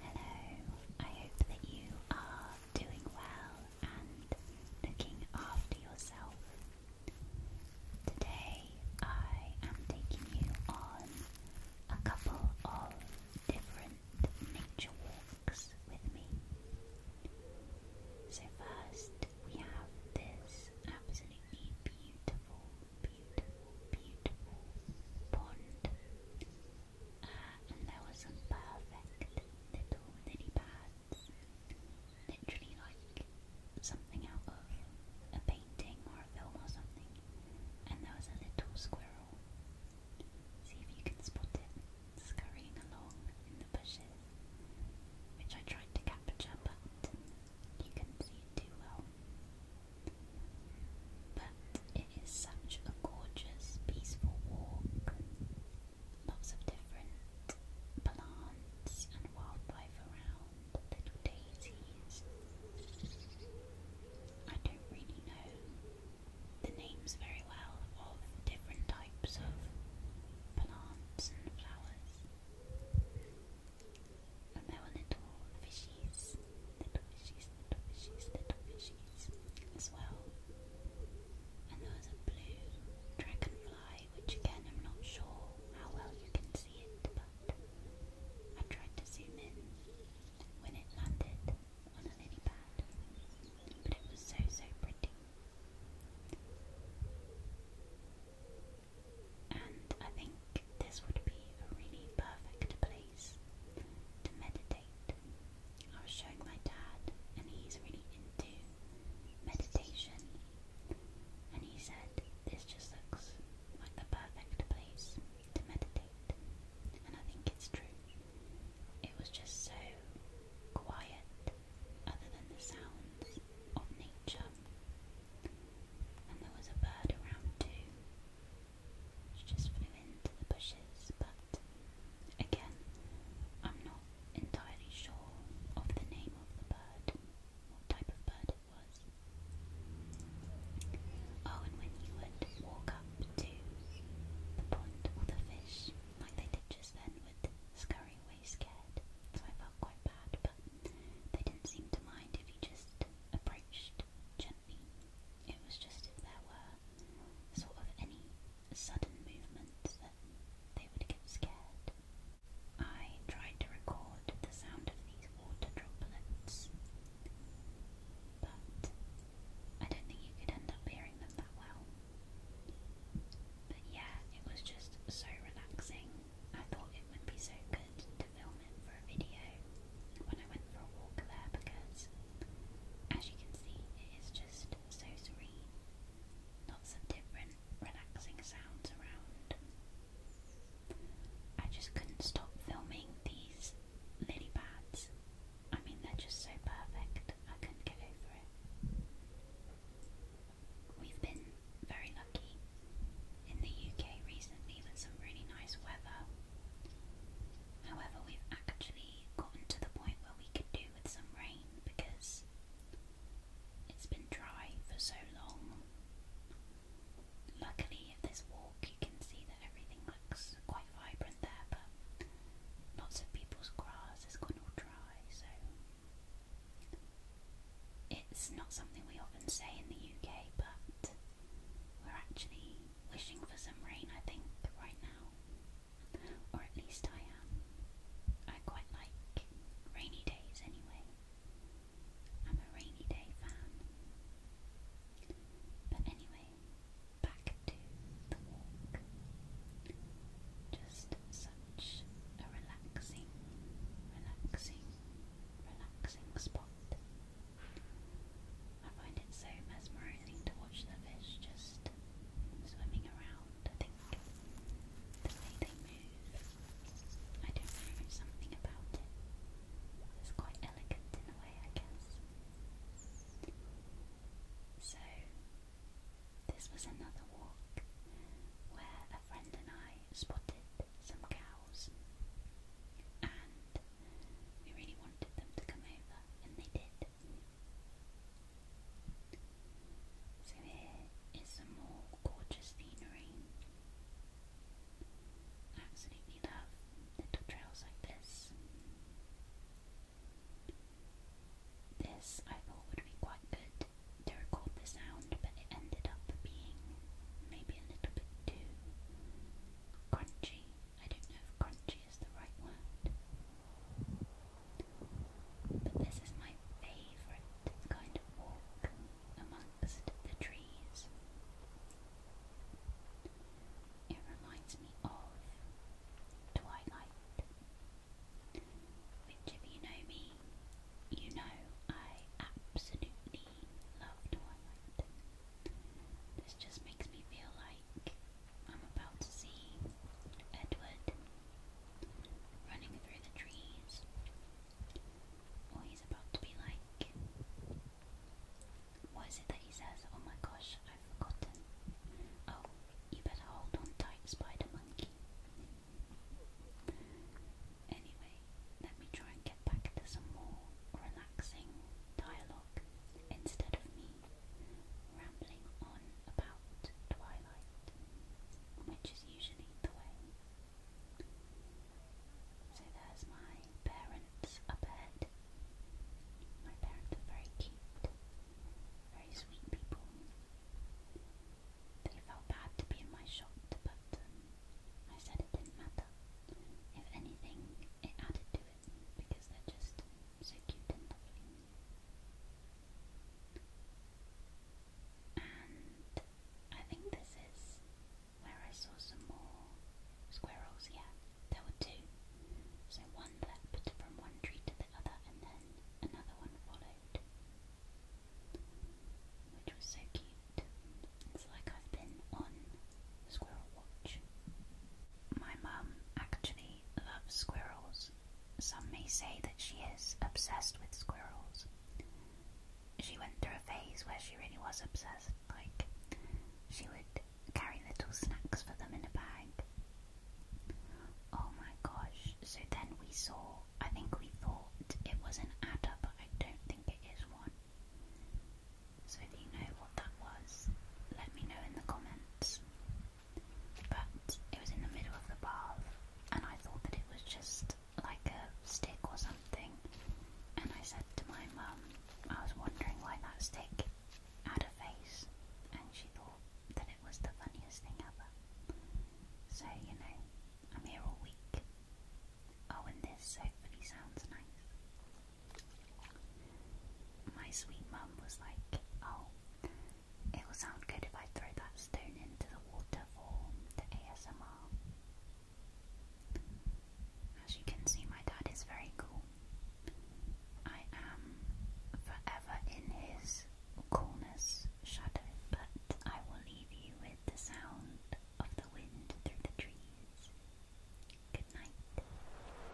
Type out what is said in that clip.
Hello, I hope that you are doing well and looking after yourself. Today I am taking you on a couple of different nature walks with me. So, first we have this absolutely beautiful beautiful, beautiful pond. and there were some perfect little lily Literally like something out of a painting or a film or something. And there was a little squirrel. See if you can spot it scurrying along in the bushes, which I tried to capture, but you couldn't see it too well. But it is such a gorgeous, peaceful walk. Lots of different plants and wildlife around, little daisies. I don't really know the names very well of different types of plants and flowers from our little fishies, little fishies, little fishies, little fishies as well. And there was a blue dragonfly, which again I'm not sure how well you can see it, but I tried to zoom in when it landed on a lily pad, but it was so so pretty. And I think this would be a really perfect place to meditate. I was showing my dad, and he's really into meditation, and he said this just looks like the perfect place to meditate. And I think it's true. It was just so quiet, other than the sounds of nature and there was a bird around too, which just flew into the bushes, but again, I'm not entirely sure of the name of the bird, what type of bird it was. Oh, and when you would walk up to the pond, all the fish, like they did just then, would scurry away scared, so I felt quite bad, but they didn't seem to mind if you just approached gently. It was just if there were sort of any sudden movements that they would get scared. I tried to record the sound of these water droplets, but I don't think you could end up hearing them that well. But yeah, it was just so relaxing I thought it would be so good to film it for a video when I went for a walk there because, as you can see, it is just so serene. Lots of different relaxing sounds around. I just couldn't stop filming these lily pads. I mean, they're just so perfect, I couldn't get over it. We've been very lucky in the UK recently with some really nice weather. However, we've actually gotten to the point where we could do with some rain because it's been dry for so long. Luckily, at this walk, you can see that everything looks quite vibrant there, but lots of people's grass has gone all dry, so it's not something we often say in the UK, but we're actually wishing for some rain, I think, right now. Or at least I am. I quite like rainy days anyway. I'm a rainy day fan. But anyway, back to the walk. Just a relaxing, relaxing, relaxing spot. I find it so mesmerizing to watch the fish just swimming around. I think the way they move, I don't know, something about it. It's quite elegant in a way, I guess. So, this was another walk where a friend and I spotted some cows and we really wanted them to come over and they did. So here is some more gorgeous scenery. absolutely love little trails like this. This I would be quite good to record the sound, but it ended up being maybe a little bit too crunchy. I don't know if crunchy is the right word. But this is my favourite kind of walk amongst the trees. It reminds me of Twilight. Which, if you know me, you know I absolutely love Twilight. This just makes me feel like I'm about to see Edward running through the trees, or he's about to be like, What is it that he says? Oh my gosh, I've forgotten. Oh, you better hold on tight, Spider Monkey. Anyway, let me try and get back to some more relaxing dialogue instead of me rambling on about Twilight, which is usually the way. So there's my parents up My parents are very cute very sweet people. They felt bad to be in my shop, but um, I said it didn't matter. If anything, it added to it because they're just so cute and lovely. And I think this is where I saw some more squirrels, yeah. There were two, so one leapt from one tree to the other, and then another one followed. Which was so cute. It's like I've been on squirrel watch. My mum actually loves squirrels. Some may say that she is obsessed with squirrels. She went through a phase where she really was obsessed. Like, she would carry little snacks for them in a bag. Oh my gosh, so then we saw, I think we thought it was an adder, but I don't think it is one. So do you know what that was? Let me know in the comments. But it was in the middle of the bath, and I thought that it was just like a stick or something. And I said to my mum, I was wondering why that stick had a face, and she thought that it was the funniest thing ever. So, you know, I'm here all week. Oh, and this hopefully sounds nice. My sweet mum was like, oh, it will sound good if I throw that stone into the water for the ASMR. As you can see, my dad is very cool. I am forever in his coolness shadow, but I will leave you with the sound of the wind through the trees. Good night.